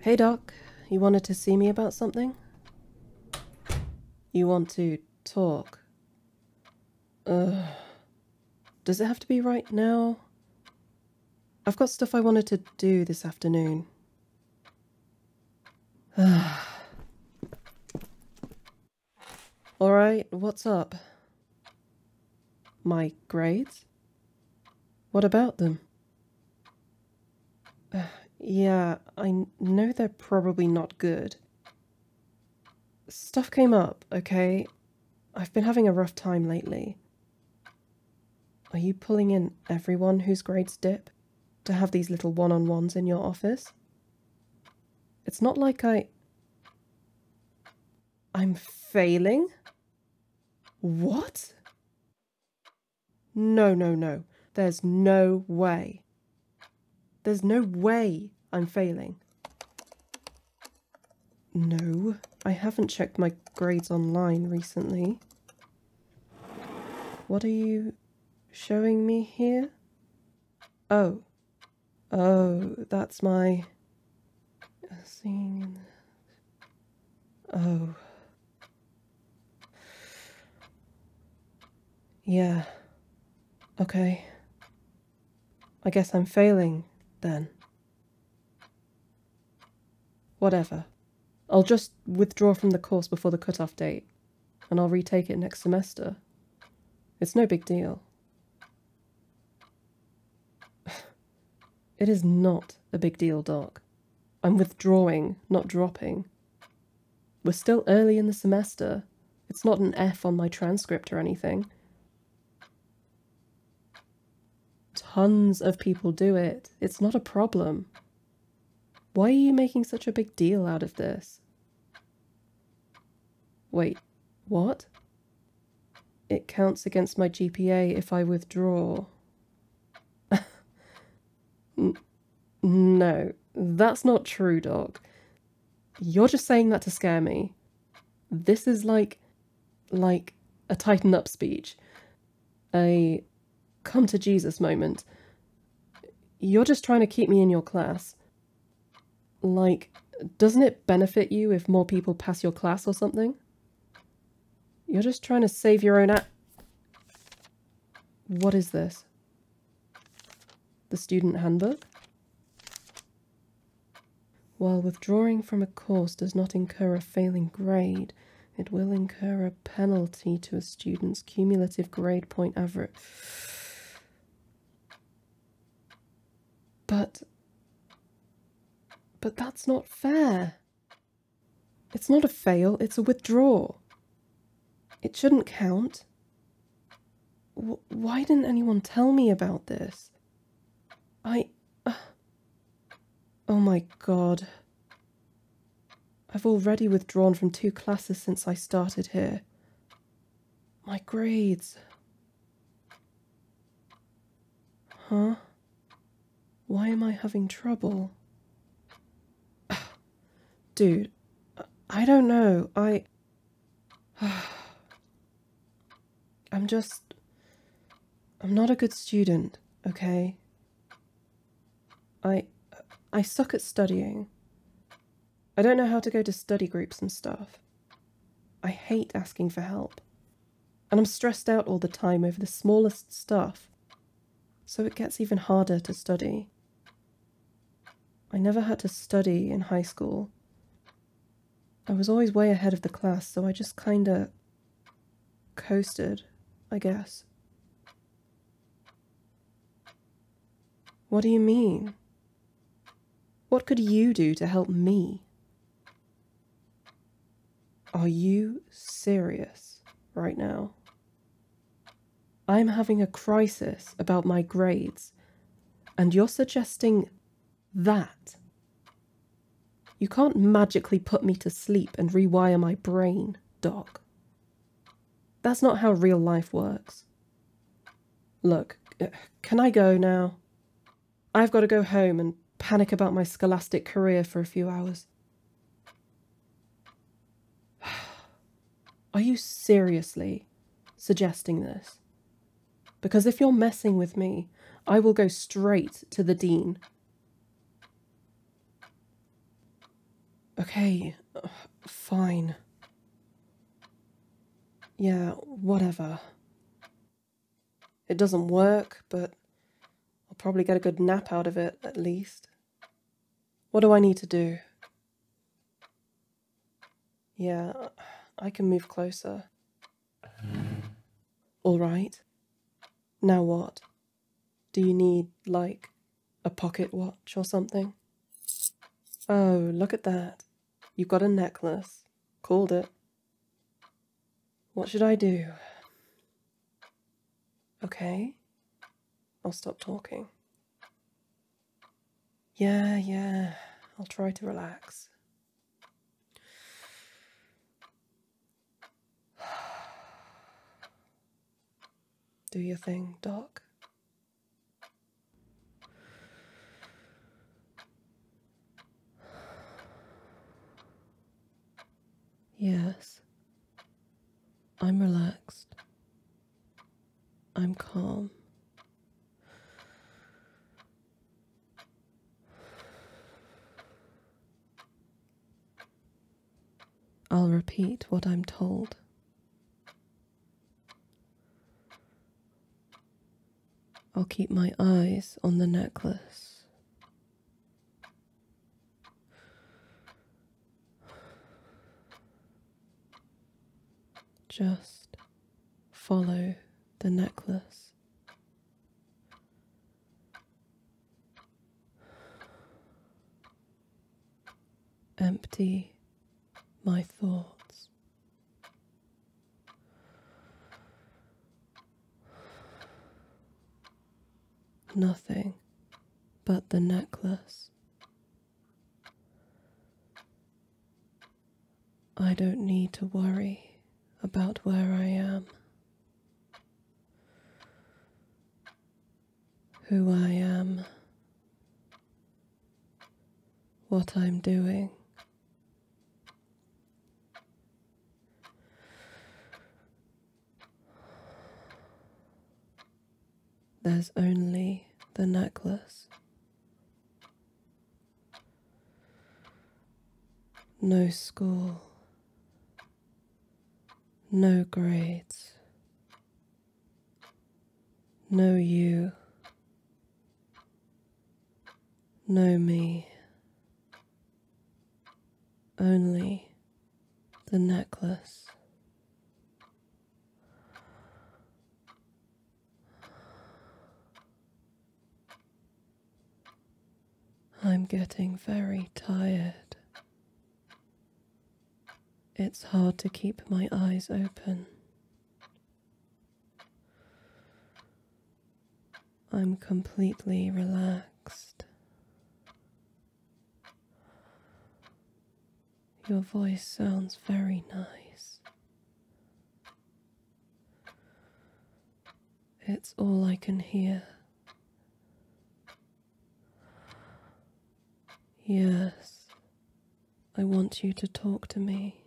Hey, Doc. You wanted to see me about something? You want to talk? Ugh. Does it have to be right now? I've got stuff I wanted to do this afternoon. Alright, what's up? My grades? What about them? yeah, I know they're probably not good. Stuff came up, okay? I've been having a rough time lately. Are you pulling in everyone whose grades dip to have these little one-on-ones in your office? It's not like I... I'm failing? What? No, no, no. There's no way. There's no way I'm failing. No, I haven't checked my grades online recently. What are you showing me here? Oh, Oh, that's my scene. Oh. Yeah. Okay. I guess I'm failing, then. Whatever. I'll just withdraw from the course before the cutoff date, and I'll retake it next semester. It's no big deal. it is not a big deal, Doc. I'm withdrawing, not dropping. We're still early in the semester. It's not an F on my transcript or anything. Tons of people do it. It's not a problem. Why are you making such a big deal out of this? Wait, what? It counts against my GPA if I withdraw. no, that's not true, Doc. You're just saying that to scare me. This is like... like a tighten up speech. A come to Jesus moment. You're just trying to keep me in your class. Like, doesn't it benefit you if more people pass your class or something? You're just trying to save your own a- What is this? The student handbook? While withdrawing from a course does not incur a failing grade, it will incur a penalty to a student's cumulative grade point average. But. But that's not fair. It's not a fail, it's a withdraw. It shouldn't count. why didn't anyone tell me about this? I. oh my god. I've already withdrawn from two classes since I started here, my grades. Huh? Why am I having trouble? Dude, I don't know. I. I'm just. I'm not a good student, okay? I. I suck at studying. I don't know how to go to study groups and stuff. I hate asking for help. And I'm stressed out all the time over the smallest stuff. So it gets even harder to study. I never had to study in high school. I was always way ahead of the class, so I just kinda coasted, I guess. What do you mean? What could you do to help me? Are you serious right now? I'm having a crisis about my grades, and you're suggesting that. You can't magically put me to sleep and rewire my brain, Doc. That's not how real life works. Look, can I go now? I've got to go home and panic about my scholastic career for a few hours. Are you seriously suggesting this? Because if you're messing with me, I will go straight to the Dean. Okay, fine. Yeah, whatever. It doesn't work, but I'll probably get a good nap out of it at least. What do I need to do? Yeah, I can move closer. All right. Now what? Do you need, like, a pocket watch or something. Oh, look at that. You've got a necklace. Called it. What should I do? Okay. I'll stop talking. Yeah, yeah. I'll try to relax. Do your thing, Doc. Yes, I'm relaxed. I'm calm. I'll repeat what I'm told. I'll keep my eyes on the necklace. Just follow the necklace empty my thoughts. Nothing but the necklace. I don't need to worry about where I am who I am, what I'm doing. There's only the necklace. No school, no grades, Know you, know me, only the necklace. I'm getting very tired. It's hard to keep my eyes open. I'm completely relaxed. Your voice sounds very nice. It's all I can hear. Yes, I want you to talk to me.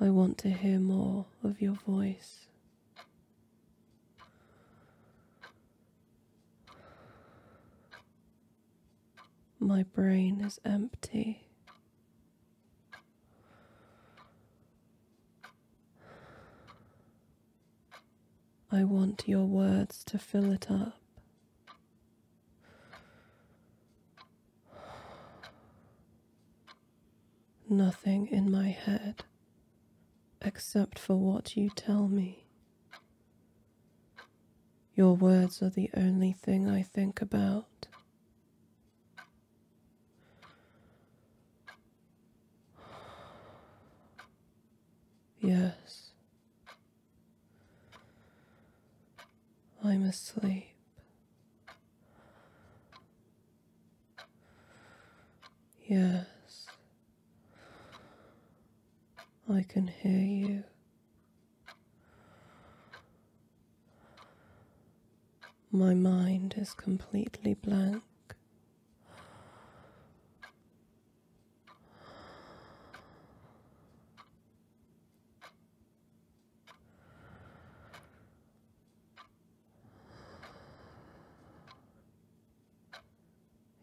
I want to hear more of your voice. My brain is empty. I want your words to fill it up. Nothing in my head except for what you tell me. Your words are the only thing I think about. Yes, I'm asleep. Yes, I can hear you. My mind is completely blank.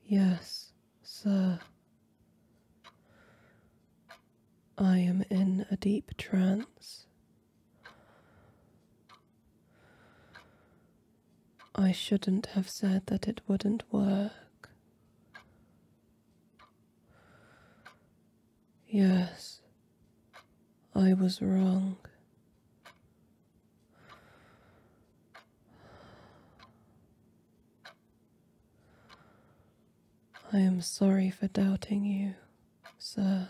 Yes, sir. I am in a deep trance. I shouldn't have said that it wouldn't work. Yes, I was wrong. I am sorry for doubting you, sir.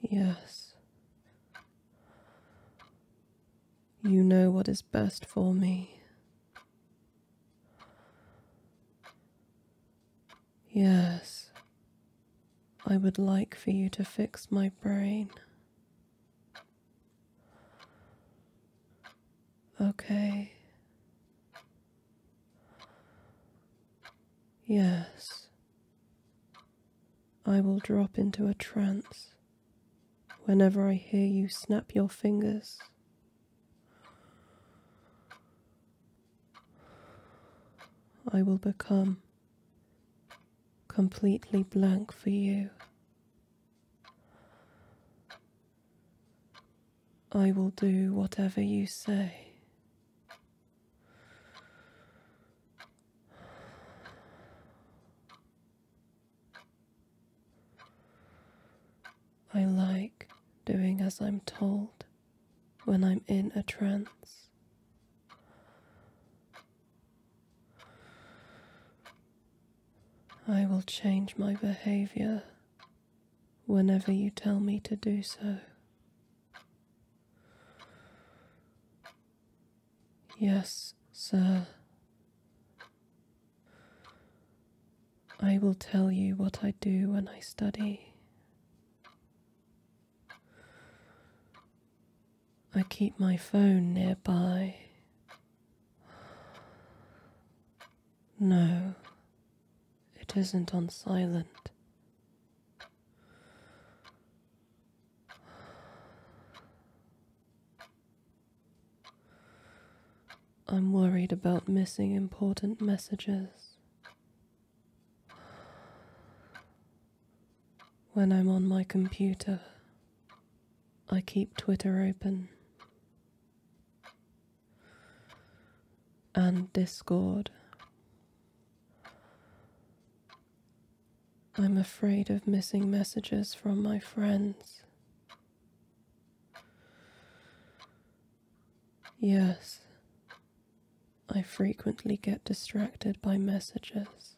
Yes. You know what is best for me. Yes. I would like for you to fix my brain. Okay. Yes. I will drop into a trance whenever I hear you snap your fingers. I will become completely blank for you. I will do whatever you say. I like doing as I'm told when I'm in a trance. I will change my behavior whenever you tell me to do so. Yes, sir. I will tell you what I do when I study. I keep my phone nearby. No, it isn't on silent. I'm worried about missing important messages. When I'm on my computer, I keep Twitter open and Discord. I'm afraid of missing messages from my friends. Yes, I frequently get distracted by messages.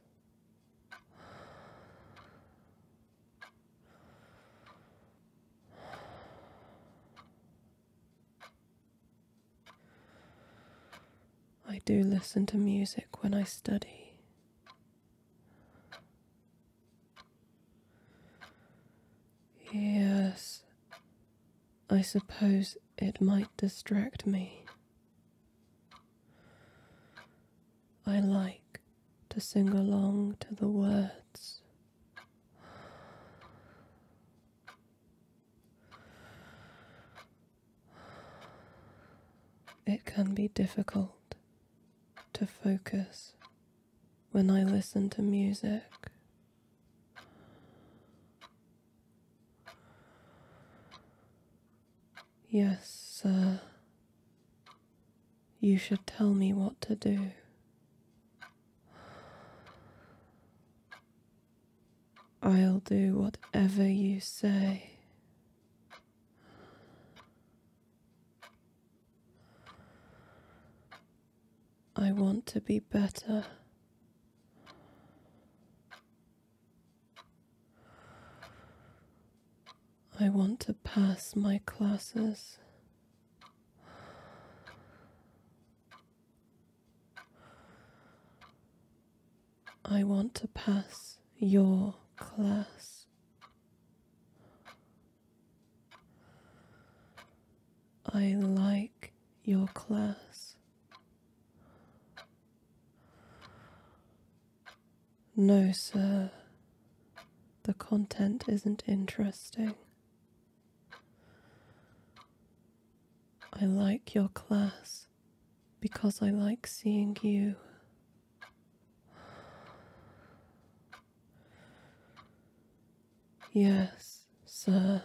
I do listen to music when I study. Yes, I suppose it might distract me. I like to sing along to the words. It can be difficult to focus when I listen to music. Yes, sir. You should tell me what to do. I'll do whatever you say. I want to be better. I want to pass my classes. I want to pass your class. I like your class. No, sir. The content isn't interesting. I like your class because I like seeing you. Yes, sir.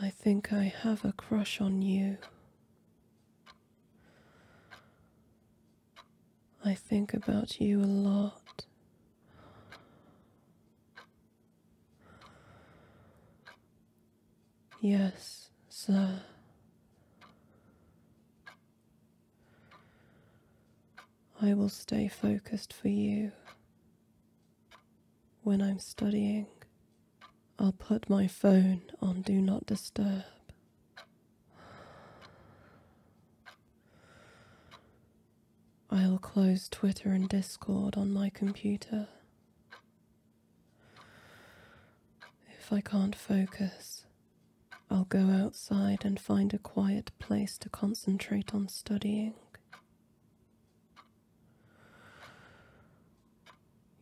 I think I have a crush on you. I think about you a lot. Yes, sir. I will stay focused for you. When I'm studying, I'll put my phone on Do Not Disturb. I'll close Twitter and Discord on my computer. If I can't focus, I'll go outside and find a quiet place to concentrate on studying.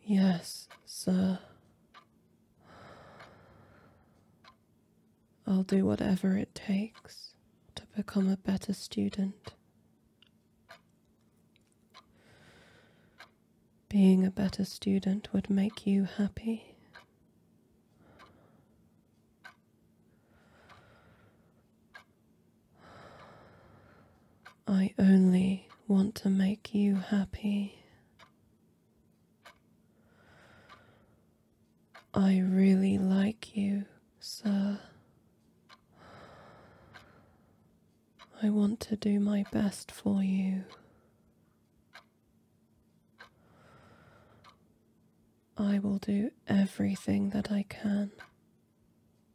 Yes, sir. I'll do whatever it takes to become a better student. Being a better student would make you happy. I only want to make you happy. I really like you, sir. I want to do my best for you. I will do everything that I can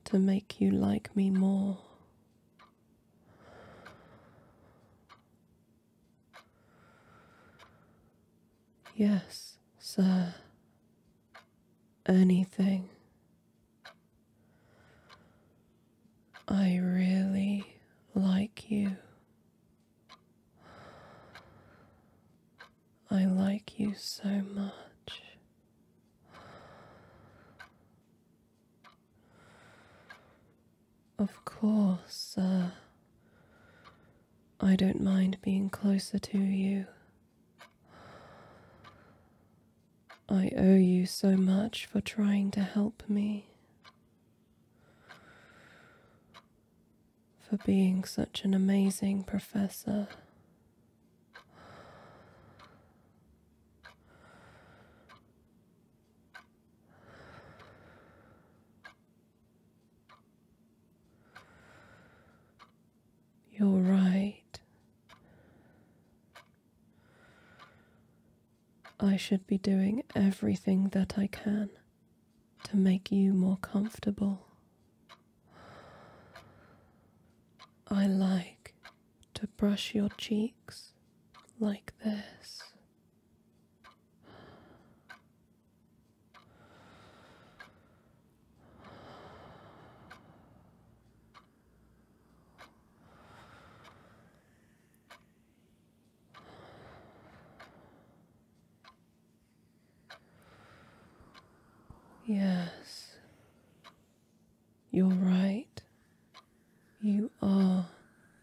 to make you like me more. Yes, sir. Anything. I really like you. I like you so much. Of course, sir. I don't mind being closer to you. I owe you so much for trying to help me for being such an amazing professor. You're right. I should be doing everything that I can to make you more comfortable. I like to brush your cheeks like this. Yes, you're right. You are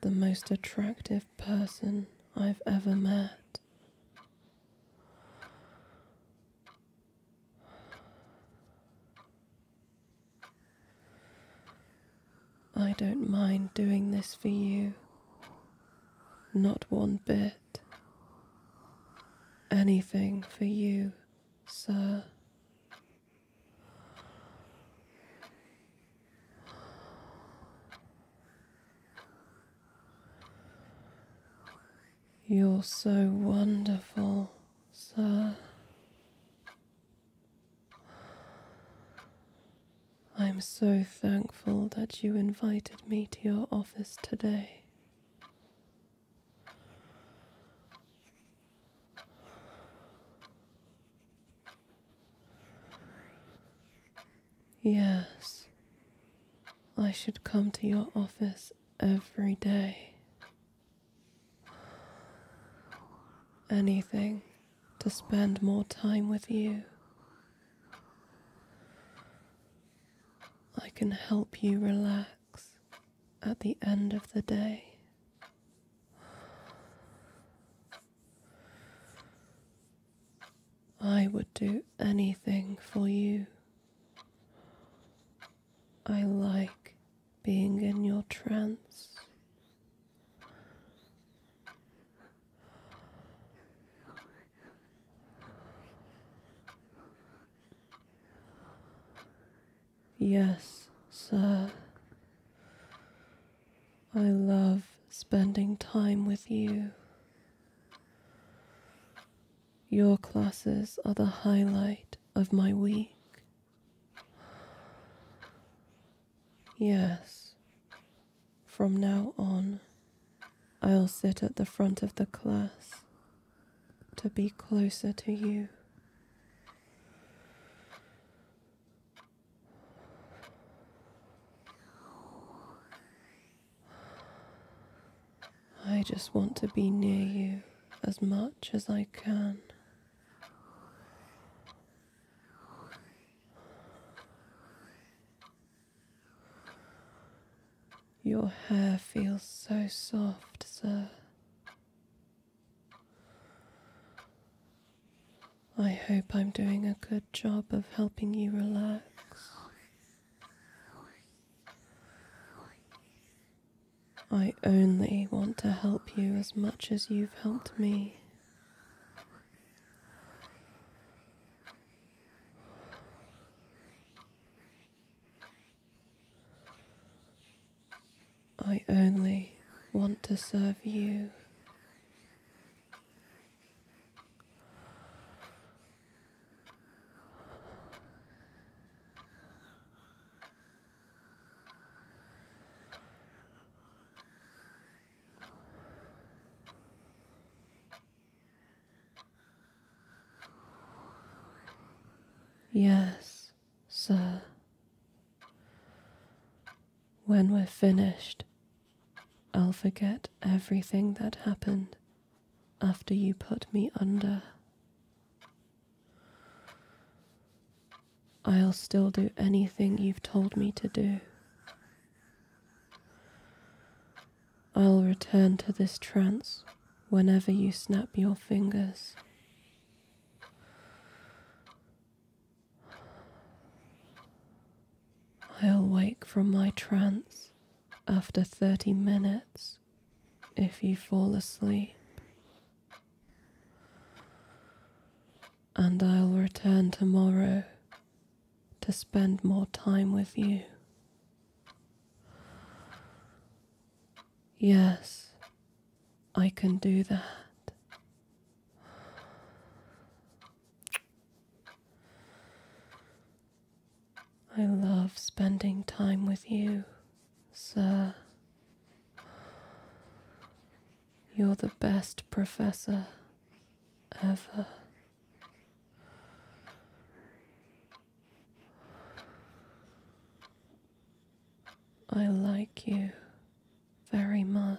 the most attractive person I've ever met. I don't mind doing this for you. Not one bit. Anything for you, sir. You're so wonderful, sir. I am so thankful that you invited me to your office today. Yes, I should come to your office every day. Anything to spend more time with you. I can help you relax at the end of the day. I would do anything for you. I like being in your trance. Yes, sir. I love spending time with you. Your classes are the highlight of my week. Yes, from now on, I'll sit at the front of the class to be closer to you. I just want to be near you as much as I can. Your hair feels so soft, sir. I hope I'm doing a good job of helping you relax. I only want to help you as much as you've helped me. I only want to serve you. Yes, sir. When we're finished, I'll forget everything that happened after you put me under. I'll still do anything you've told me to do. I'll return to this trance whenever you snap your fingers. I'll wake from my trance after 30 minutes if you fall asleep and I'll return tomorrow to spend more time with you. Yes, I can do that. I love spending time with you, sir. You're the best professor ever. I like you very much.